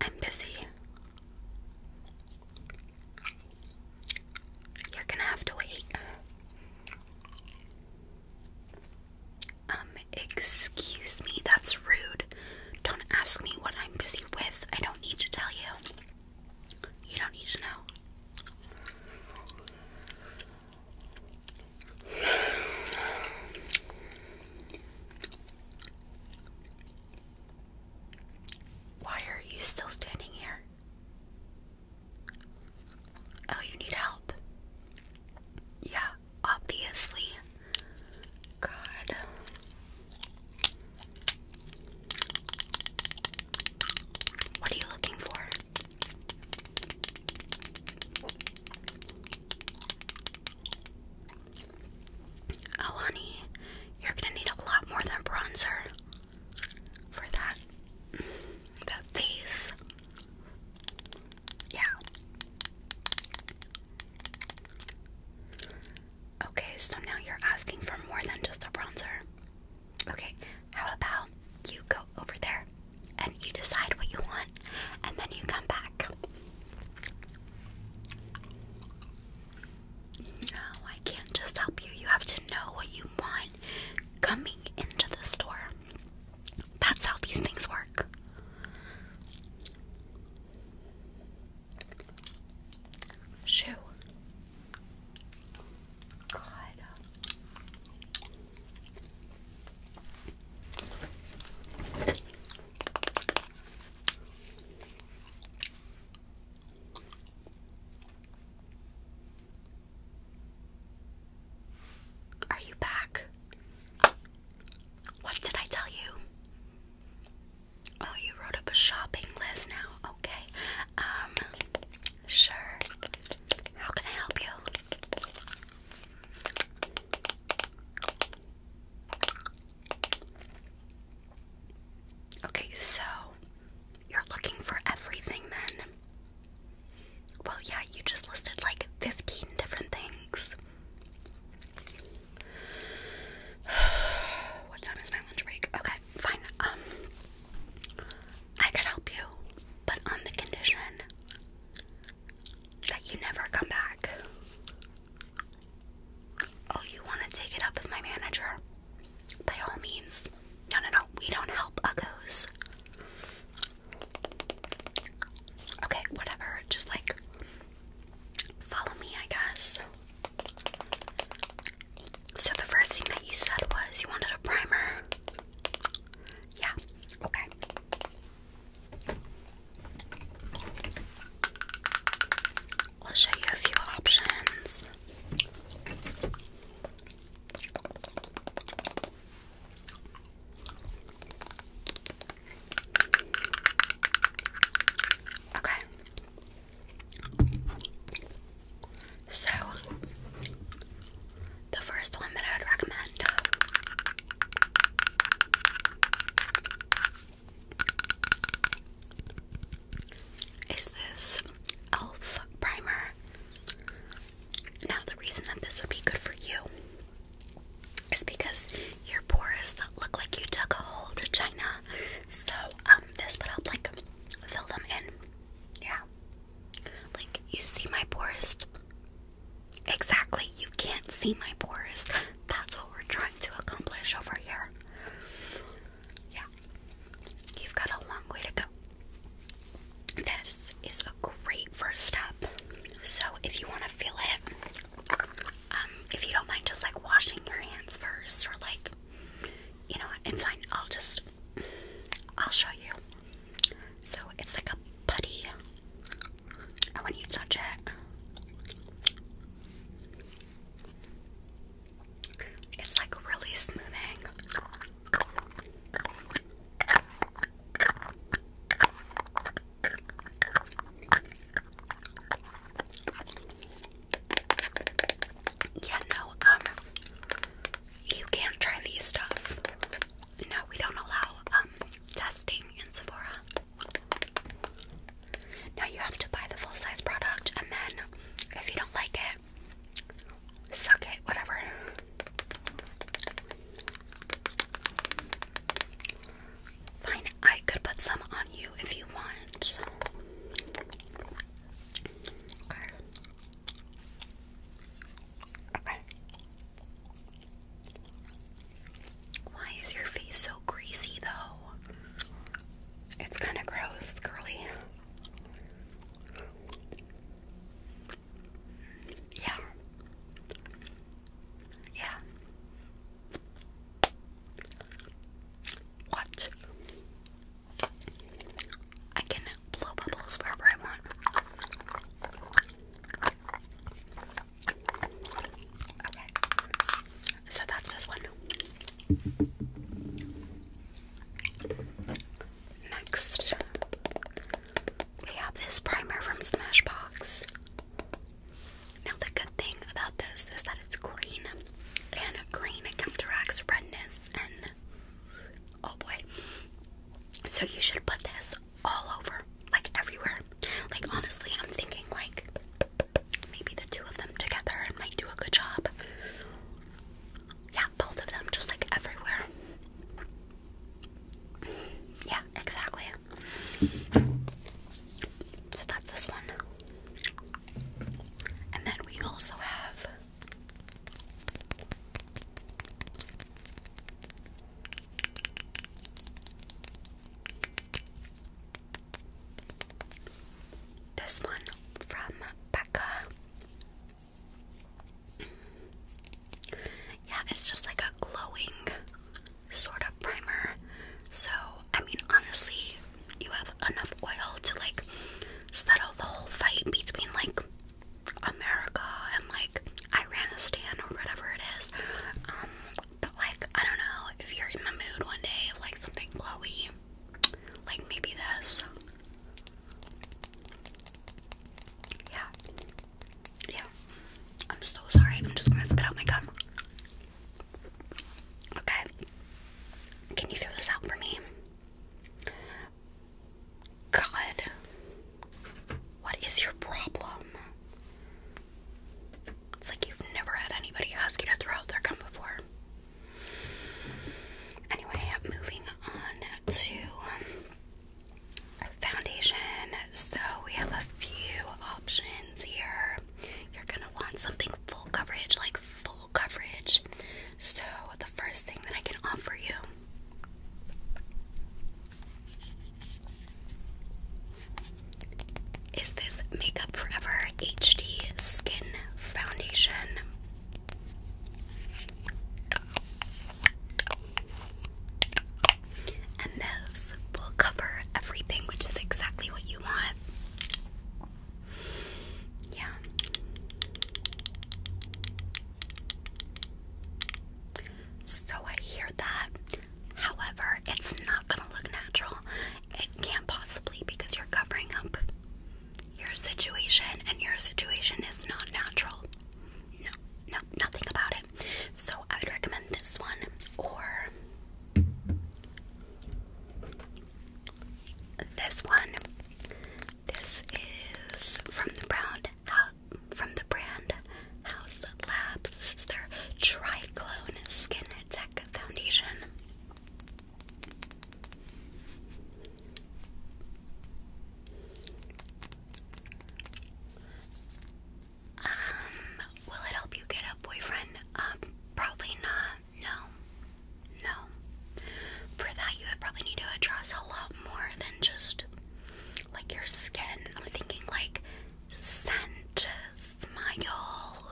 I'm busy. You're gonna have to wait. Um, excuse me, that's rude. Don't ask me what I'm busy with. I don't need to tell you. You don't need to know. Why are you still standing here? Oh, you need help. Yeah, obviously. God. What are you looking for? Alani, you're gonna need a lot more than bronzer for that that face. Yeah. Okay, so now you're asking for more than just a bronzer. Okay, how about you go over there and you decide what you want, and then you come back. No, I can't just help you. You have to know what you want coming into the store. That's how these things work. Shoo. God. Are you back? What did I tell you? Oh, you wrote up a shopping list now. Okay. Um, Sure. How can I help you? Okay, so you're looking for everything then. Well, yeah, you just listed like 15 different things. what time is my lunch break? Okay, fine. Um I could help you, but on the condition that you never come back. Oh, you want to take it up with my manager? By all means. No, no, no. We don't help uggos. Okay, whatever. Just like follow me, I guess. So the first thing that you said was you wanted a primer. Yeah, okay. I'll show you a few options. Okay. So the first one that I would recommend. Is this e.l.f. primer? Now, the reason that this would be good for you is because your pores look like you took a hole to China. So, um, this would help, like, fill them in. Yeah. Like, you see my pores? Exactly, you can't see my pores. That's what we're trying to accomplish over here. Yeah, you've got a long way to go. This is a great first step. So, if you want to feel it, um, if you don't mind just like washing your hands first, or like, you know, it's fine. I'll just, I'll show you. So it's like a putty. I when you touch it, it's like really smoothing. Yeah, no, um, you can't try these stuff. No, we don't allow um, testing in Sephora. Now you have to buy the full size product, and then if you don't like it, suck it, whatever. Fine, I could put some on you if you want. Okay. Why is your face so greasy though? It's kind of gross, curly. Yeah. Yeah. What? I can blow bubbles wherever I want. Okay, so that's this one. Next, we have this primer from Smashbox. Now, the good thing about this is that it's green, and green counteracts redness Oh boy. So you should put this all over, like everywhere. Like honestly, I'm thinking like maybe the two of them together might do a good job. Yeah, both of them, just like everywhere. Yeah, exactly. So that's this one. And then we also have this one from Becca. Yeah, it's just like a glowing sort of primer. So, I mean, honestly, you have enough oil to like settle the whole fight between like America and like Iranistan or whatever it is. Um, but like I don't know if you're in the mood one day of like something glowy, like maybe this. Yeah, yeah. I'm so sorry. I'm just gonna spit out my gum. Okay. Can you throw this out for me? God, what is your problem? It's like you've never had anybody ask you to throw out their gum before. Anyway, moving on to foundation. So we have a few options here. You're gonna want something full coverage, like full coverage. So, the first thing that I can offer you is this Makeup Forever HD Skin Foundation? And this will cover everything, which is exactly what you want. Yeah. So I hear that. However, it's not going to look natural. It can't possibly because you're covering up your situation and your situation is not natural. No, no, nothing about it. So I would recommend this one or this one. This is from the Brown from the brand House Labs. This is their Triclone Skin Tech Foundation. Um, will it help you get a boyfriend? Um, probably not. No. No. For that, you would probably need to address a lot more than just like your skin. I'm thinking like scent, smile,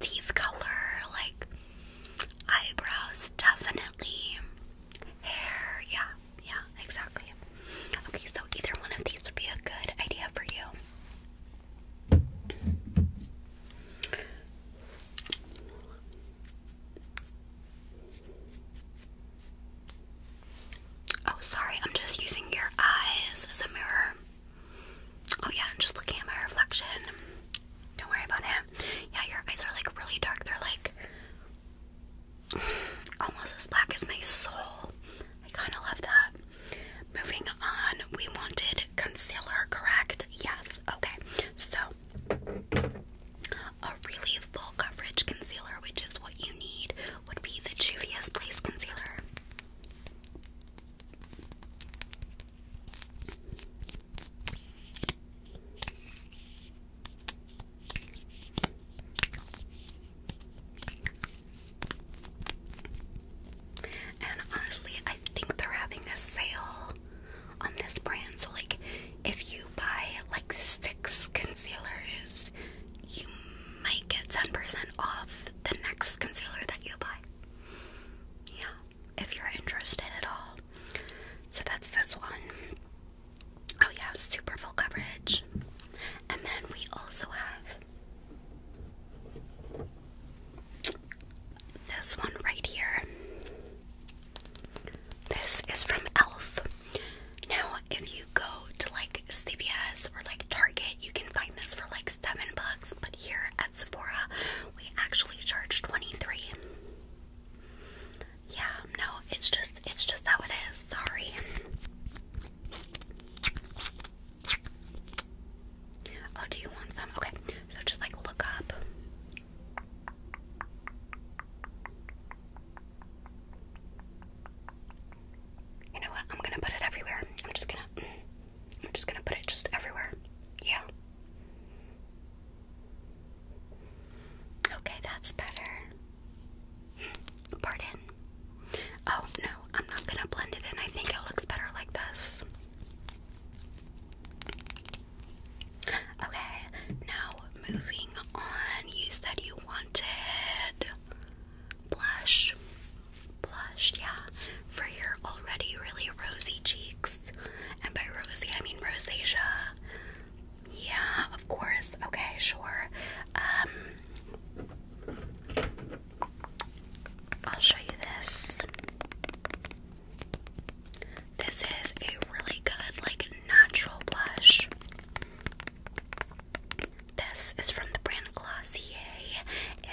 teeth color, like eyebrows, definitely. Hair, yeah, yeah, exactly. Okay, so either one of these would be a good idea for you. Oh, sorry, I'm just using your eyes as a mirror. Oh, yeah, I'm just looking at my reflection. Don't worry about it. Yeah, your eyes are like really dark. They're like almost as black as my soul. I kind of love that. Moving on, we wanted concealer, correct? Yes, okay. So, a really full coverage concealer, which is what you need, would be the Juvia's Place Concealer. And honestly, I think they're having a sale on this brand, so like if you buy like six concealers, you might get 10% off the next concealer that you buy. Yeah, if you're interested at all. So that's this one. Oh, yeah, super full coverage. And then we also have this one right here. This is from e.l.f. Now, if you go to like CVS or like Target, you can find this for like seven bucks, but here at Sephora, we actually charge 23. Yeah, no, it's just it's just how it is. Sorry. Oh, do you want some? Okay, so just like look up. You know what? I'm gonna put it everywhere. I'm just gonna, I'm just gonna put it just everywhere. Yeah. Okay, that's better. Pardon. Oh no, I'm not gonna blend it in. I think it looks better like this. Okay, now moving on, you said you wanted blush. Blush, yeah, for your already really rosy cheeks. And by rosy, I mean rosacea. Yeah, of course. Okay, sure. Um, I'll show you this. This is a really good, like, natural blush. This is from the brand Glossier,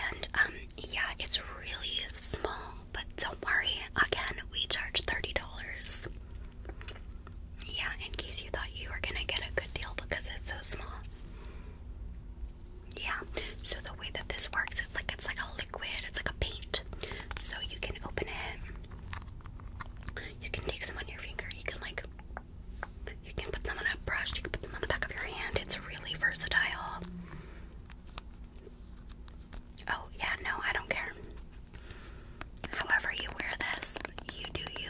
and um, yeah, it's really small, but don't worry, again, we charge $30. Yeah, in case you thought you were gonna get a good deal because it's so small. Yeah, so the way that this works, it's like it's like a liquid, it's like a paint. So you can open it you can take them on your finger. You can like you can put them on a brush, you can put them on the back of your hand. It's really versatile. Oh, yeah, no, I don't care. However you wear this, you do you.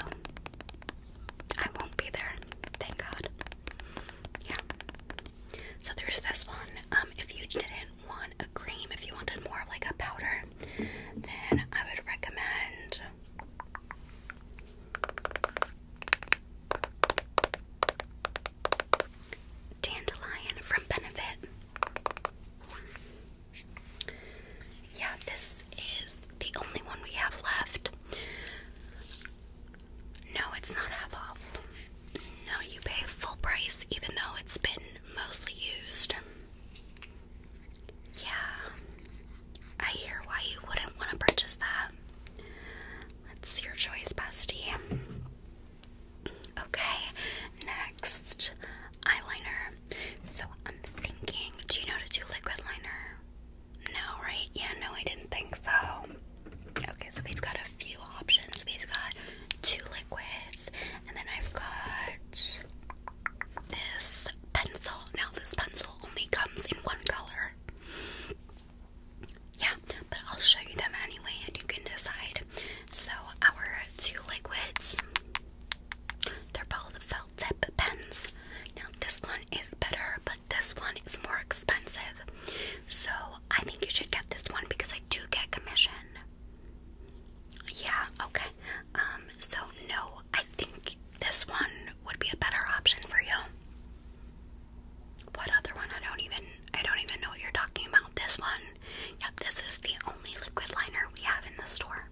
I won't be there. Thank God. Yeah. So there's this one. Um, if you didn't want a cream, if you wanted more of like a powder, then I would recommend Dandelion from Benefit. Yeah, this is the only one we have left. No, it's not half off. No, you pay full price even though it's been mostly used. Yeah, I hear why you wouldn't want to purchase that. let your choice, bestie. Okay, next eyeliner. So I'm thinking, do you know to do liquid liner? No, right? Yeah, no, I didn't think so. Okay, so we've got a few options. We've got two liquids, and then I've got this pencil. Now, this pencil only comes in one color. Yeah, but I'll show you them anyway and you can decide. So, our two liquids, they're both felt tip pens. Now, this one is better, but this one is more expensive. So, I think you should get this one because I do get commission. Yeah, okay. Um, so no, I think this one would be a better option for you. What other one? I don't even I don't even know you're talking about. This one. Yep, this is the only liquid liner we have in the store.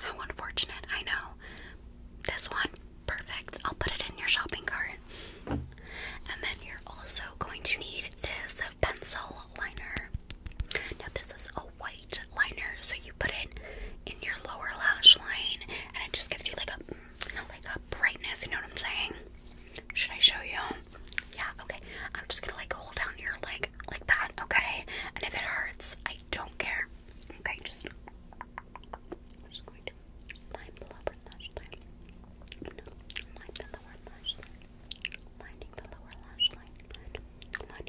How unfortunate, I know. This one, perfect. I'll put it in your shopping cart. And then you're also going to need this pencil liner. Now, this is a white liner, so you put it in your lower lash line, and it just gives you like a like a brightness. You know what I'm saying? Should I show you? Yeah. Okay. I'm just gonna like hold down your leg like that. Okay. And if it hurts, I don't care. Okay. Just i just going to line the lower lash line. line the lower lash line. Lining the lower lash Line,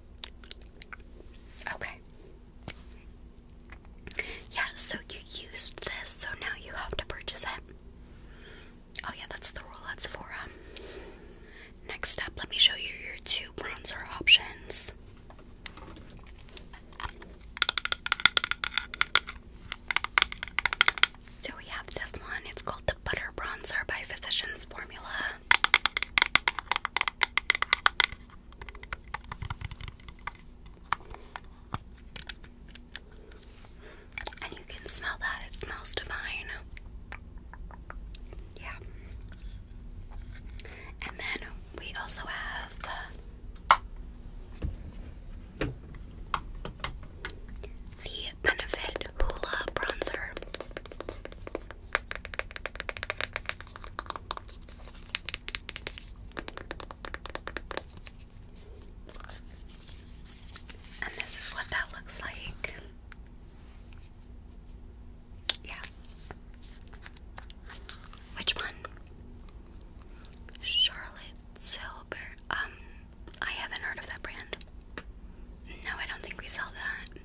Okay. Yeah, so you used this, so now you have to purchase it. Oh, yeah, that's the rule at Sephora. Um, next up, let me show you your two bronzer options. So we have this one, it's called the Butter Bronzer by Physicians Formula. And you can smell that, it smells divine. Yeah. And then we also have uh, the benefit nude bronzer. And this is what that looks like. Yeah. Which one? Charlotte Silver. Um, I haven't heard of that brand. No, I don't think we sell that.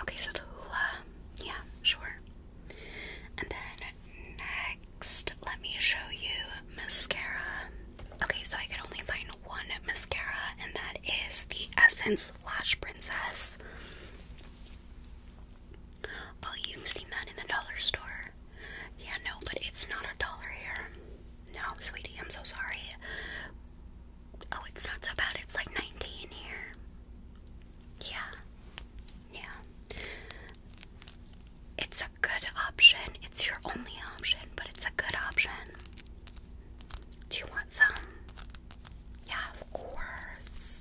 Okay, so the um, hula, yeah, sure. And then next, let me show you mascara. Okay, so I could only find one mascara, and that is the Essence Lash Princess. Oh, you've seen that in the dollar store. Yeah, no, but it's not a dollar here. No, sweetie, I'm so sorry. Oh, it's not so bad. It's like 90 in here. Yeah. Yeah. It's a good option. It's your only option, but it's a good option. Do you want some? Yeah, of course.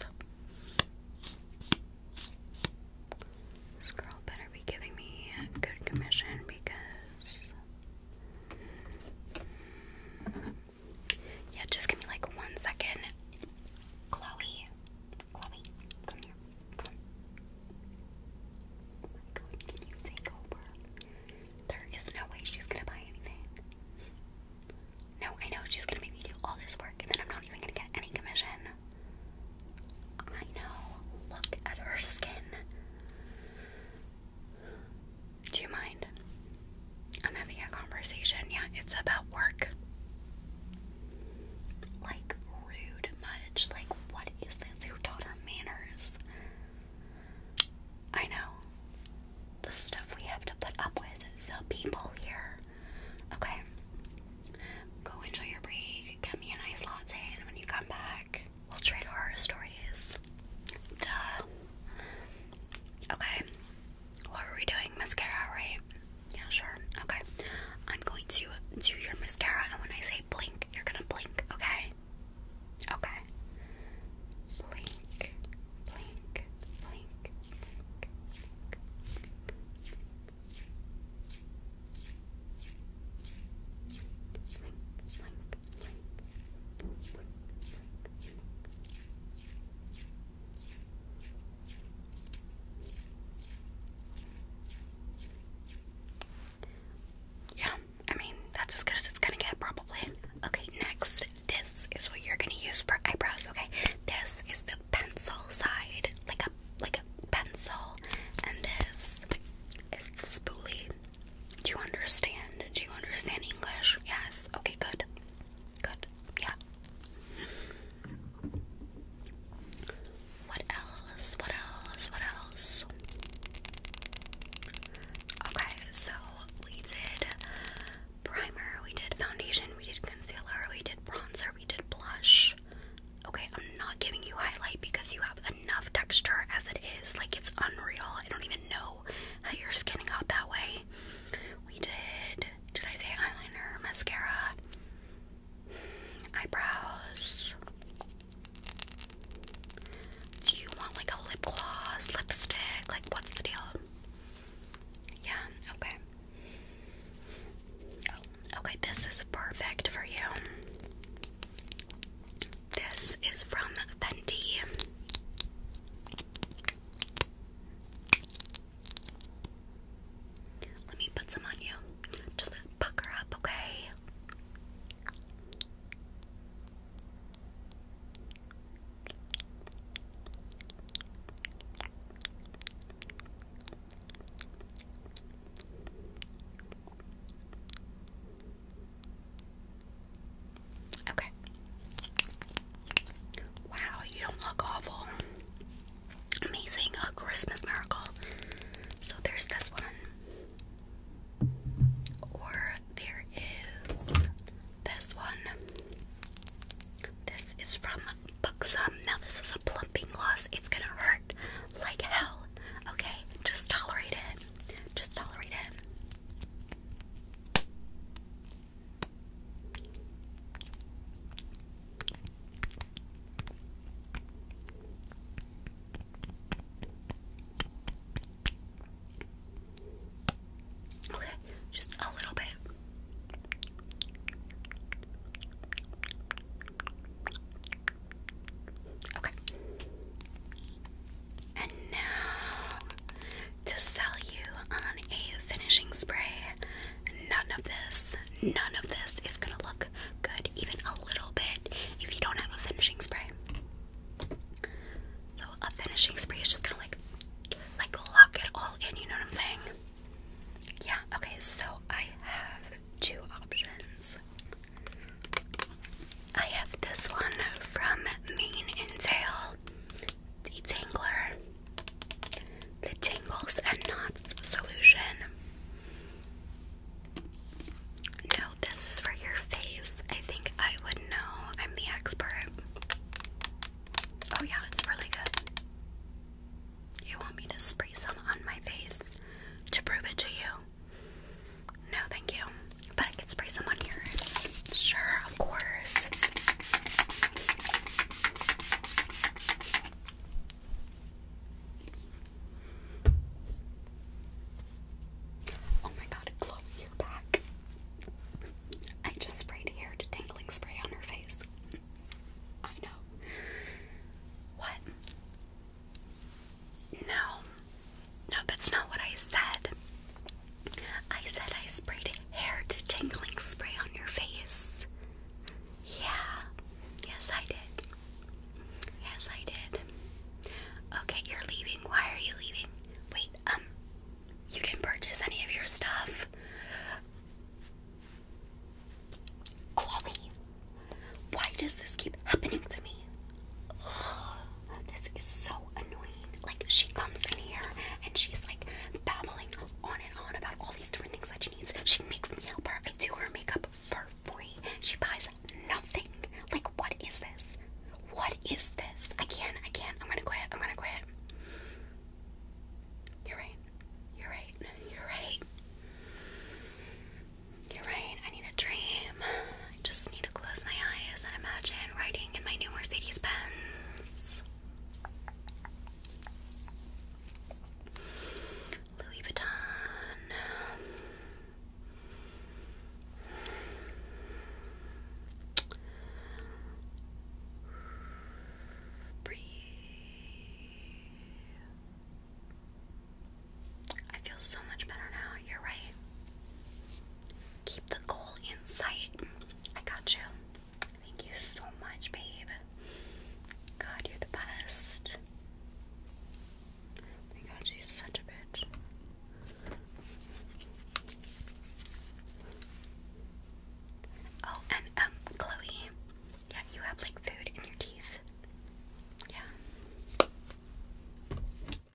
This girl better be giving me a good commission because yeah, just give me like one second. Chloe. Chloe, come here. Oh my god, can you take over? There is no way she's gonna buy anything. No, I know she's gonna make me do all this work and then I'm not even gonna get any commission. I know. Look at her skin. Do you mind? I'm having a conversation. Yeah, it's about work. Like, rude much. Like, what is this? Who taught her manners? I know the stuff we have to put up with. So, people here, okay, go enjoy your break, get me a nice latte, and when you come back, We'll trade horror stories. Duh. Okay. What are we doing? Mascara, right? Yeah, sure. Okay. I'm going to do your mascara, and when I say blink, you're gonna blink, okay? Okay. Blink, blink, blink, blink, blink. Blink, yeah, I mean, that's as good as it's gonna get, probably. Okay, next, this is what you're gonna use for eyebrows, okay? This is the pencil side, like a like a pencil, and this is the spoolie. Do you understand? Do you understand English? Yes. Okay, good. Good. Yeah. What else? What else? What else? Okay, so we did primer, we did foundation, we did concealer, we did bronzer, we did blush. Okay, I'm not giving you highlight because you have enough texture as it is. Like, it's unreal. I don't even know how you're skinning out that way. We did, did I say eyeliner, mascara, eyebrows? Do you want like a lip gloss, lipstick? Like, what's the deal? Yeah, okay. Oh, okay, this is perfect for you. This is from Fenty. Let me put some on you. Just pucker up, okay? Okay. Wow, you don't look awful. Amazing, a Christmas miracle. So there's this one. Or there is this one. This is from Buxom. Now, this is a plumping gloss. It's gonna hurt like hell. Okay, just tolerate it. Just tolerate it. Okay, just a little bit. Okay. And now to sell you on a finishing spray. None of this, none of this is gonna look good even a little bit if you don't have a finishing spray. So a finishing spray is just gonna like like lock it all in, you know what I'm saying? Yeah, okay, so I have two options. I have this one from Mane and Tail, Detangler, the Tangles and Knots Solution. No, this is for your face. I think I would know. I'm the expert. Oh, yeah, it's really good. You want me to spray some on my face to prove it to you? No, thank you. But I could spray some on yours. Sure, of course. Oh my god, Chloe, you're back. I just sprayed hair detangling spray on her face. I know. What? No, no, that's not what I said. I said I sprayed hair tingling spray on your face. Yeah, yes, I did. Yes, I did. Okay, you're leaving. Why are you leaving? Wait, um, you didn't purchase any of your stuff. Chloe, why does this keep happening to me? this is so annoying. Like, she comes in here and she's like babbling on and on about all these different things that she needs. She makes me help her. I do her makeup for free. She buys nothing. Like, what is this? What is this? I can't. I can't. I'm gonna quit. I'm gonna quit. You're right. You're right. You're right. You're right. I need a dream. I just need to close my eyes and imagine writing in my new Mercedes Benz. Louis Vuitton. Breathe. I feel so much better now. You're right. Keep the goal in sight. I got you. Thank you so much, babe. God, you're the best. my god, she's such a bitch. Oh, and um, Chloe, yeah, you have like food in your teeth. Yeah.